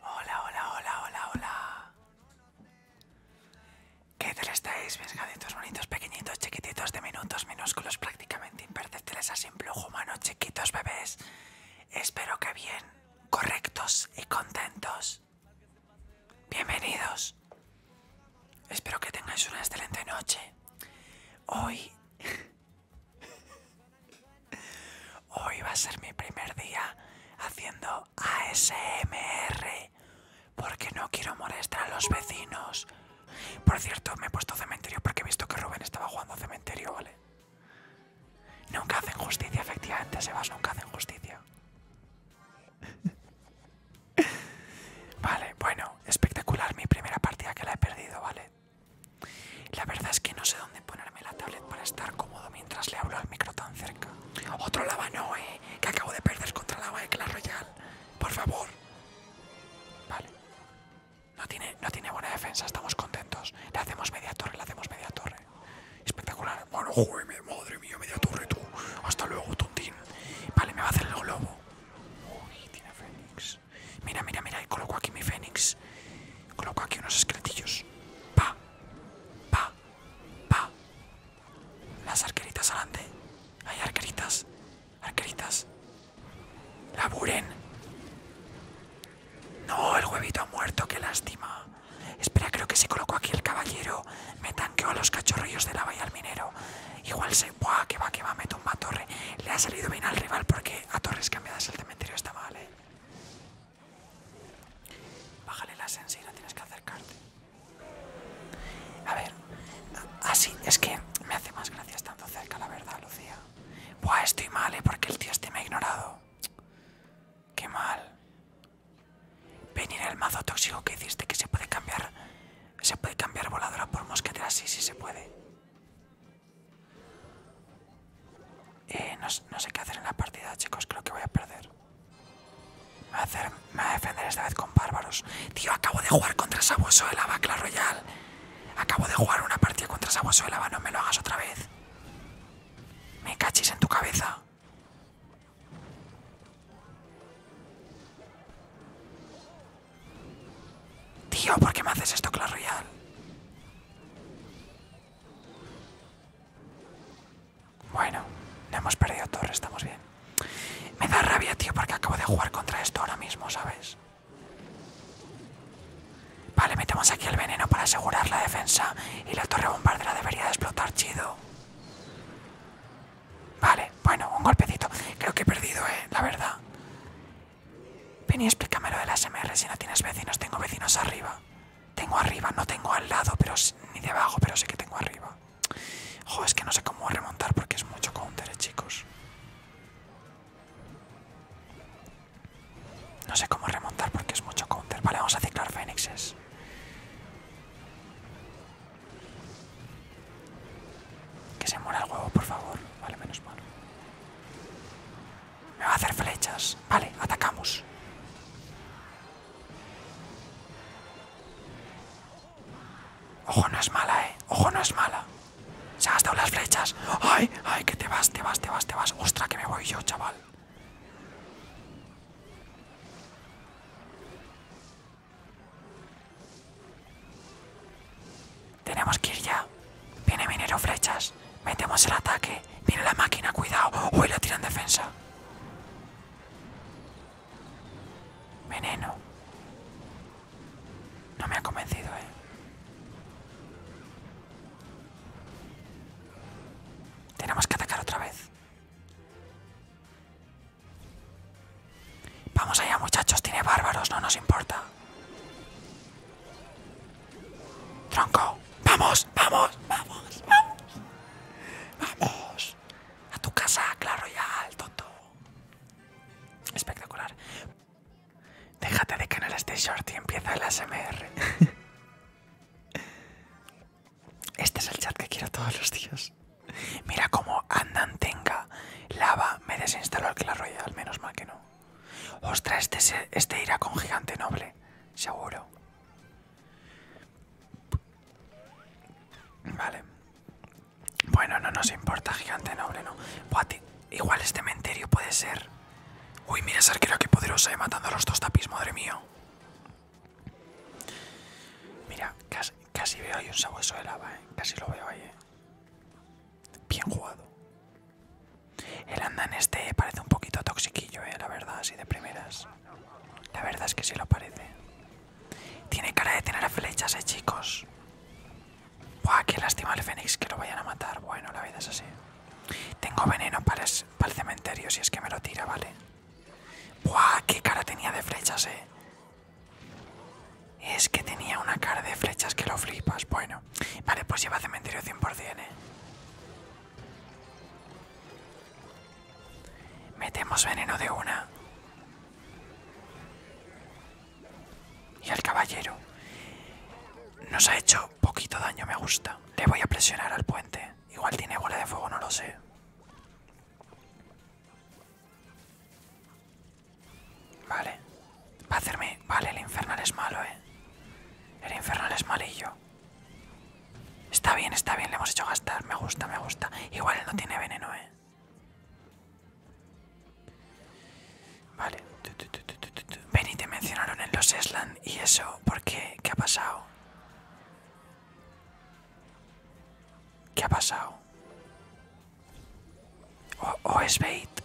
Hola, hola, hola, hola, hola. ¿Qué tal estáis, mis bonitos, pequeñitos, chiquititos, de minutos, minúsculos, prácticamente imperceptibles a simple humano, chiquitos bebés? Espero que bien, correctos y contentos. Bienvenidos. Espero que tengáis una excelente noche. Hoy Hoy va a ser mi primer día haciendo ASMR porque no quiero molestar a los vecinos. Por cierto, me he puesto cementerio porque he visto que Rubén estaba jugando cementerio, ¿vale? Nunca hacen justicia, efectivamente, Sebas, nunca hacen justicia. Vale, bueno, espectacular mi primera partida que la he perdido, ¿vale? La verdad es que no sé dónde ponerme la tablet para estar cómodo mientras le hablo al micro tan cerca. Otro lava no, que acabo de perder contra lava de Clash royal. Por favor. Vale. No tiene, buena defensa, estamos contentos. Le hacemos media torre, le hacemos media torre. Espectacular. Bueno, madre mía, media torre tú. Hasta luego, tontín. Vale, me va a hacer el globo. Uy, tiene Fénix. Mira, mira, mira, y coloco aquí mi fénix. Coloco aquí unos esqueletillos. Pa, pa, pa. Las arqueritas adelante. Hay arqueritas, arqueritas. Laburen. No, el huevito ha muerto, qué lástima. Espera, creo que si coloco aquí el caballero, me tanqueo a los cachorrillos de la valla al minero. Igual se. ¡Buah! Que va, que va, me tumba a torre. Le ha salido bien al rival porque a torres cambiadas el cementerio está mal, eh. Bájale la y no tienes que acercarte. A ver, así es que me hace más gracia estando cerca, la verdad, Lucía. Buah, estoy mal, eh, porque el tío este me ha ignorado. Qué mal. Venir el mazo tóxico que hiciste que se puede cambiar. Se puede cambiar voladora por mosquetera, sí, sí se puede. Eh, no, sé qué hacer en la partida, chicos. Creo que voy a perder. Me voy a, defender esta vez con bárbaros. Tío, acabo de jugar contra Sabueso de la Clash Royale. Acabo de jugar una partida contra Sabueso de Lava. No me lo hagas otra vez. Me cachis en tu cabeza. Tío, ¿por qué me haces esto, Clash Royal? Bueno, no hemos perdido torre, estamos bien. Me da rabia, tío, porque acabo de jugar contra esto ahora mismo, ¿sabes? Vale, metemos aquí el veneno para asegurar la defensa y la torre bombardera debería de explotar chido. Vale, bueno, un golpecito. Creo que he perdido, eh, la verdad. Ven y explícame lo las ASMR si no tienes vecinos. Tengo vecinos arriba. Tengo arriba, no tengo al lado, pero ni debajo, pero sí que tengo arriba. Jo, es que no sé cómo remontar porque es mucho counter, eh, chicos. No sé cómo remontar porque es mucho counter. Vale, vamos a ciclar fénixes. Que se muera el huevo, por favor. Vale, menos mal. Me va a hacer flechas. Vale, atacamos. Ojo, no es mala, eh. Ojo, no es mala. Se ha gastado las flechas. ¡Ay! ¡Ay! Que te vas, te vas, te vas, te vas. ¡Ostra, que me voy yo, chaval! Tenemos que ir ya. Viene minero flechas. Metemos el ataque. Viene la máquina, cuidado. Uy, la tiran defensa. Veneno. No me ha convencido, eh. Tenemos que atacar otra vez. Vamos allá muchachos, tiene bárbaros, no nos importa. Tronco, vamos, vamos, vamos, vamos. A tu casa, claro ya, alto Espectacular. Déjate de canales este short y empieza el SMR Este es el chat que quiero todos los días. Mira cómo andan tenga. Lava, me desinstaló el Clash al menos mal que no. Ostras, este, este irá con gigante noble, seguro. Vale. Bueno, no nos importa, gigante noble, no. igual este cementerio puede ser. Uy, mira esa qué que poderosa, eh, matando a los dos tapis, madre mía. Mira, casi, Casi veo ahí un sabueso de lava, ¿eh? Casi lo veo ahí, ¿eh? Bien jugado. El andan este parece un poquito toxiquillo, ¿eh? La verdad, así de primeras. La verdad es que sí lo parece. Tiene cara de tener flechas, ¿eh, chicos? Buah, qué lástima el fénix que lo vayan a matar. Bueno, la vida es así. Tengo veneno para el, cementerio si es que me lo tira, ¿vale? Buah, qué cara tenía de flechas, eh. Es que tenía una cara de flechas que lo flipas. Bueno, vale, pues lleva cementerio 100%, ¿eh? Metemos veneno de una. Y al caballero. Nos ha hecho poquito daño, me gusta. Le voy a presionar al puente. Igual tiene bola de fuego, no lo sé. Vale. Va a hacerme... Vale, el infernal es malo, ¿eh? El infernal es malillo. Está bien, está bien. Le hemos hecho gastar. Me gusta, me gusta. Igual no tiene veneno, ¿eh? Vale. Ven te mencionaron en los Esland. ¿Y eso? ¿Por qué? ¿Qué ha pasado? ¿Qué ha pasado? O, Sbait es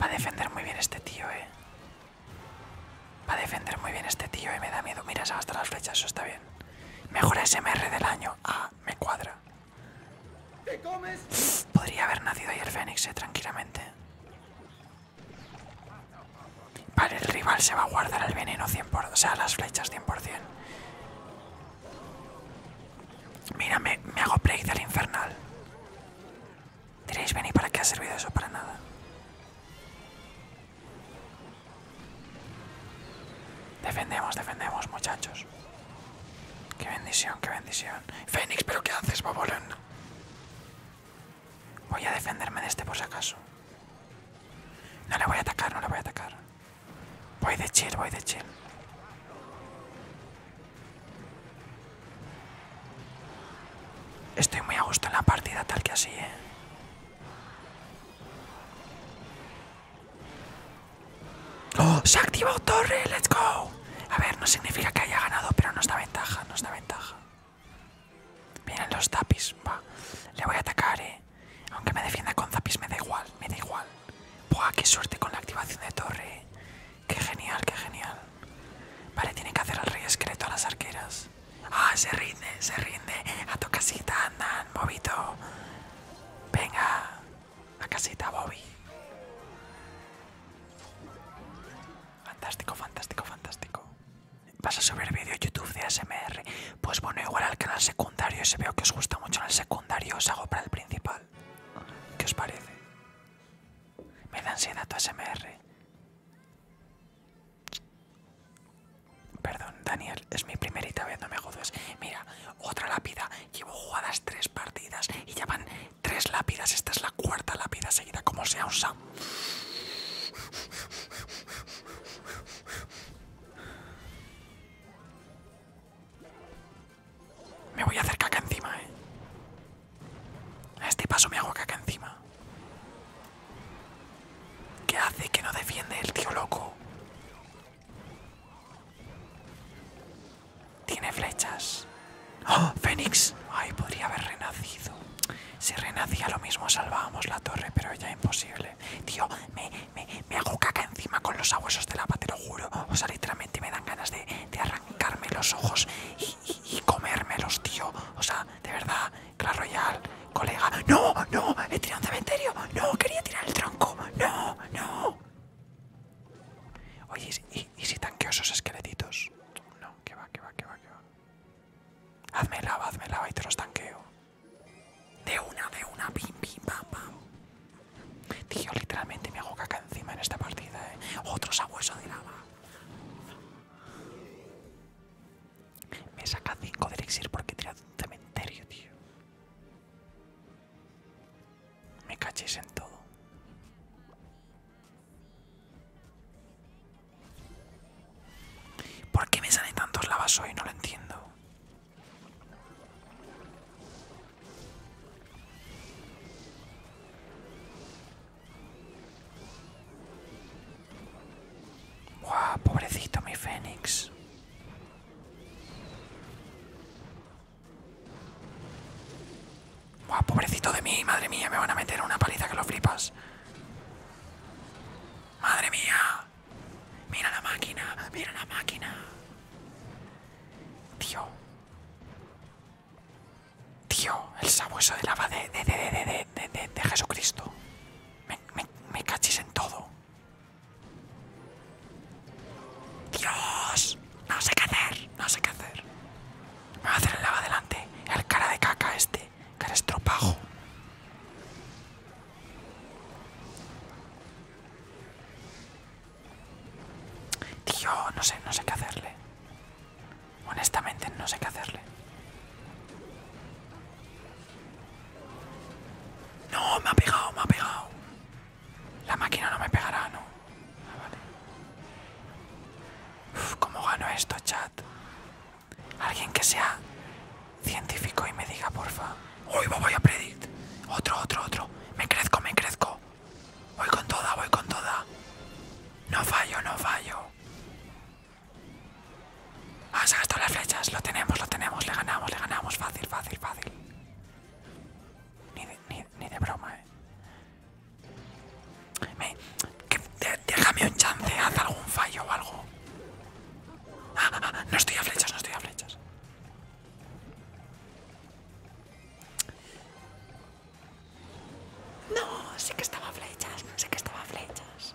Va a defender muy bien este tío, eh. Va a defender muy bien este tío, eh. Me da miedo. Mira, se las flechas, eso está bien. Mejor SMR del año. Ah, me cuadra. Podría haber nacido ahí el Fénix, eh, tranquilamente. Vale, el rival se va a guardar el veneno 100%, o sea, las flechas 100%. Mira, me, hago play del infernal. Diréis, venir ¿para qué ha servido eso? Para nada. Defendemos, defendemos, muchachos. Qué bendición, qué bendición. Fénix, ¿pero qué haces, babón. Voy a defenderme de este por si acaso. No le voy a atacar, no le voy a atacar. Voy de chill, voy de chill. Estoy muy a gusto en la partida tal que así, ¿eh? ¡Oh! ¡Se ha activado torre! ¡Let's go! A ver, no significa que haya ganado, pero no está ventaja, no está ventaja. Vienen los tapis, va. Le voy a atacar, eh. Aunque me defienda con zapis, me da igual, me da igual. Buah, qué suerte con la activación de torre. Eh. Qué genial, qué genial. Vale, tiene que hacer al rey esqueleto a las arqueras. Ah, se rinde, se rinde. A tu casita, andan, bobito. Venga, a casita, Bobby. Fantástico, fantástico, fantástico. ¿Vas a subir vídeo YouTube de ASMR? Pues bueno, igual al canal secundario, si veo que os gusta mucho en el secundario, os hago para el principal. ¿Qué os parece? Me da ansiedad tu ASMR. Perdón, Daniel, es mi primerita vez, no me jodas. Mira, otra lápida. Llevo jugadas tres partidas y ya van tres lápidas. Esta es la cuarta lápida seguida, como sea un me voy a hacer caca encima, eh. A este paso me hago caca encima. ¿Qué hace que no defiende el tío loco? Tiene flechas. ¡Oh, Fénix! ¡Ay, podría haber renacido! Si renacía lo mismo salvábamos la torre, pero ya imposible. Tío, me, hago caca encima con los abuesos de lava, te lo juro. O sea, literalmente me dan ganas de, arrancarme los ojos y, comérmelos, tío. O sea, de verdad, claro royal, colega. ¡No, no! ¡He tirado un cementerio! ¡No, quería tirar el tronco! ¡No, no! Oye, ¿y, si tanqueo esos esqueletitos? No, que va, que va, que va, que va. Hazme lava, hazme lava y te los tanqueo. De una, de una, Bim, pim, bam, Tío, literalmente me hago caca encima en esta partida, ¿eh? Otro sabueso de lava. Me saca 5 de porque he un cementerio, tío. Me cachéis en todo. ¿Por qué me salen tantos lavas hoy? No lo entiendo. pobrecito mi Fénix pobrecito de mí, madre mía, me van a meter una paliza que lo flipas. Madre mía. Mira la máquina, mira la máquina. Tío. Tío, el sabueso de lava de, de, Jesucristo. Me, me, me cachis en todo. Dios. No sé qué hacer, no sé qué hacer. Me va a hacer el lava adelante. El cara de caca este. Que eres tropajo. Tío, no sé, no sé qué hacerle. Honestamente, no sé qué hacerle. No, me ha pegado, me ha pegado. La máquina no me pegará, no. Ah, ¿Cómo gano esto, chat? Alguien que sea científico y me diga, porfa. Hoy voy a predict. Otro, otro, otro. Me crezco, me crezco. Voy con toda, voy con toda. No fallo, no fallo. Ah, se las flechas. Lo tenemos, lo tenemos. Le ganamos, le ganamos. Fácil, fácil, fácil. Ni de, ni, ni de broma, eh. Me, que, de, déjame un chance, haz algún fallo o algo. Ah, ah, ah, no estoy a flechas, no estoy a flechas. No, sí que estaba a flechas, sí que estaba a flechas.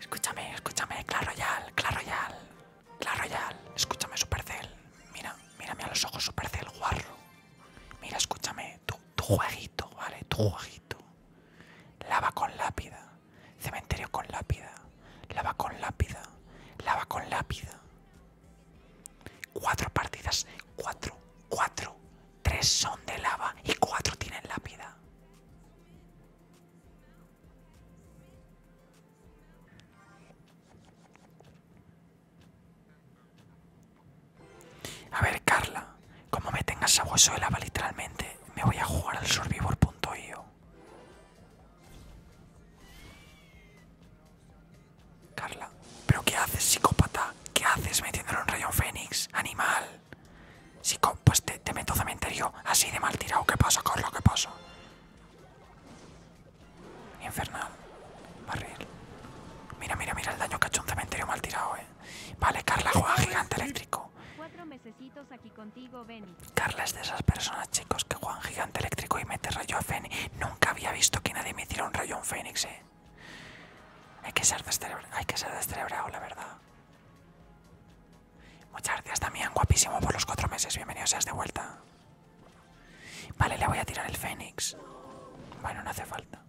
Escúchame, escúchame, claro ya, claro ya. La Royal, escúchame Supercell, mira, mírame a los ojos Supercell, guarro. Mira, escúchame, tu, tu jueguito, ¿vale? Tu jueguito. Lava con lápida, cementerio con lápida, lava con lápida, lava con lápida. Cuatro partidas, cuatro, cuatro. Tres son de lava y cuatro tienen lápida. A ver, Carla, como me tengas a hueso de lava literalmente, me voy a jugar al survivor.io. Carla, ¿pero qué haces, psicópata? ¿Qué haces metiéndolo en rayón Fénix? ¡Animal! psicó, pues te, te meto cementerio así de mal tirado. ¿Qué pasa, lo ¿Qué pasa? Infernal. Barril. Mira, mira, mira el daño que ha hecho un cementerio mal tirado, eh. Vale, Carla juega gigante eléctrico. Carla es de esas personas, chicos, que juegan gigante eléctrico y mete rayo a Feni. Nunca había visto que nadie me hiciera un rayo a un Fénix, eh. Hay que ser descerebrado, hay que ser la verdad. Muchas gracias también, guapísimo, por los cuatro meses. Bienvenido, seas de vuelta. Vale, le voy a tirar el Fénix. Bueno, no hace falta.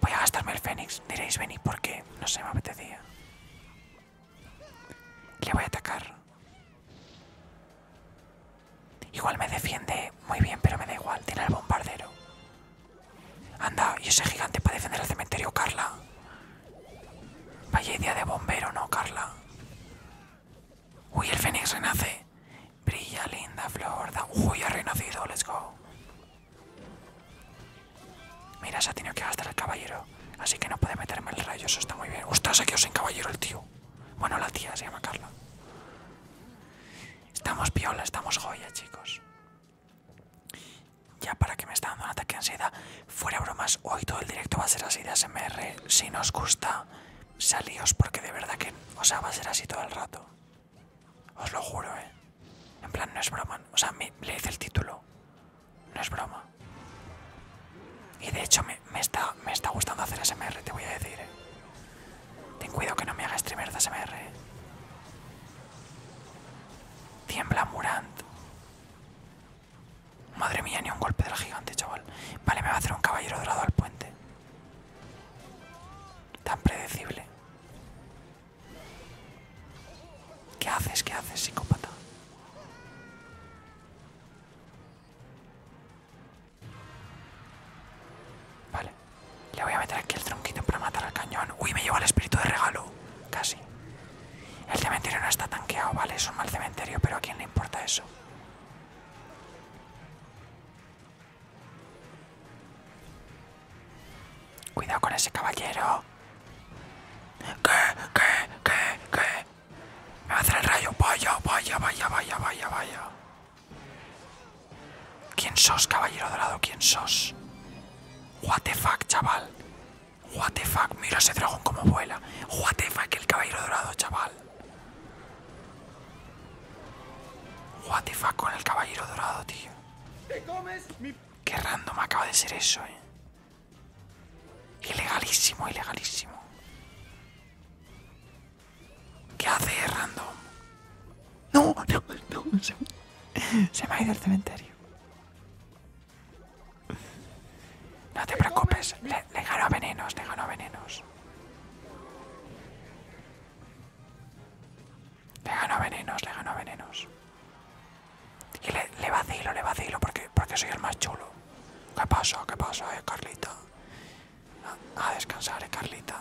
Voy a gastarme el Fénix. Diréis, ¿por porque no se me apetecía. Le voy a atacar. Igual me defiende muy bien, pero me da igual. Tiene el bombardero. Anda, y ese gigante para defender el cementerio, Carla. Vaya idea de bombero, ¿no, Carla? Uy, el fénix renace. Brilla, linda flor. Da... Uy, ha renacido, let's go. Mira, se ha tenido que gastar el caballero. Así que no puede meterme el rayo, eso está muy bien. usted se quedó sin caballero el tío. Bueno, la tía se llama Carla. Estamos piola, estamos joya, chicos ya para que me está dando un ataque de ansiedad. Fuera bromas, hoy todo el directo va a ser así de ASMR. Si nos gusta, salíos porque de verdad que, o sea, va a ser así todo el rato. Os lo juro, eh. En plan, no es broma. O sea, le hice el título. No es broma. Y de hecho me, está, me está gustando hacer ASMR, te voy a decir, eh. Ten cuidado que no me haga streamer de ASMR, ¿eh? Tiembla Murant. Madre mía, ni un golpe del gigante, chaval. Vale, me va a hacer un caballero dorado al puente. Tan predecible. ¿Qué haces? ¿Qué haces, psicópata? Vale. Le voy a meter aquí el tronquito para matar al cañón. Uy, me lleva el espíritu de regalo. Casi. El cementerio no está tanqueado, vale, es un mal cementerio, pero ¿a quién le importa eso? Cuidado con ese caballero. ¿Qué? ¿Qué? ¿Qué? ¿Qué? Me va a hacer el rayo. Vaya, vaya, vaya, vaya, vaya, vaya. ¿Quién sos, caballero dorado? ¿Quién sos? What the fuck, chaval. What the fuck, mira ese dragón como vuela. What the fuck, el caballero dorado, chaval. What the fuck con el caballero dorado, tío. Que Qué random acaba de ser eso, eh. Ilegalísimo, ilegalísimo. ¿Qué hace random? No, no, no. Se, se me ha ido al cementerio. No te preocupes, le, gano a venenos, le ganó venenos. Le ganó venenos, le ganó venenos. Y le, vacilo, le vacilo porque, porque soy el más chulo. ¿Qué pasó, ¿Qué pasó, eh, Carlita? A, descansar, eh, Carlita.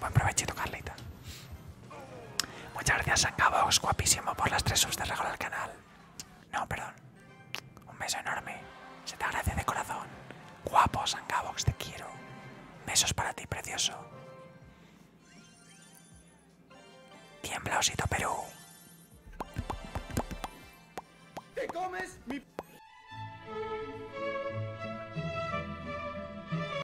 Buen provechito, Carlita. Muchas gracias Sangavox, guapísimo, por las tres subs de regalo al canal. No, perdón. Un beso enorme. Se te agradece de corazón. Guapo, Sangabox, te quiero. Besos para ti, precioso. Tiembla, osito Perú. Te comes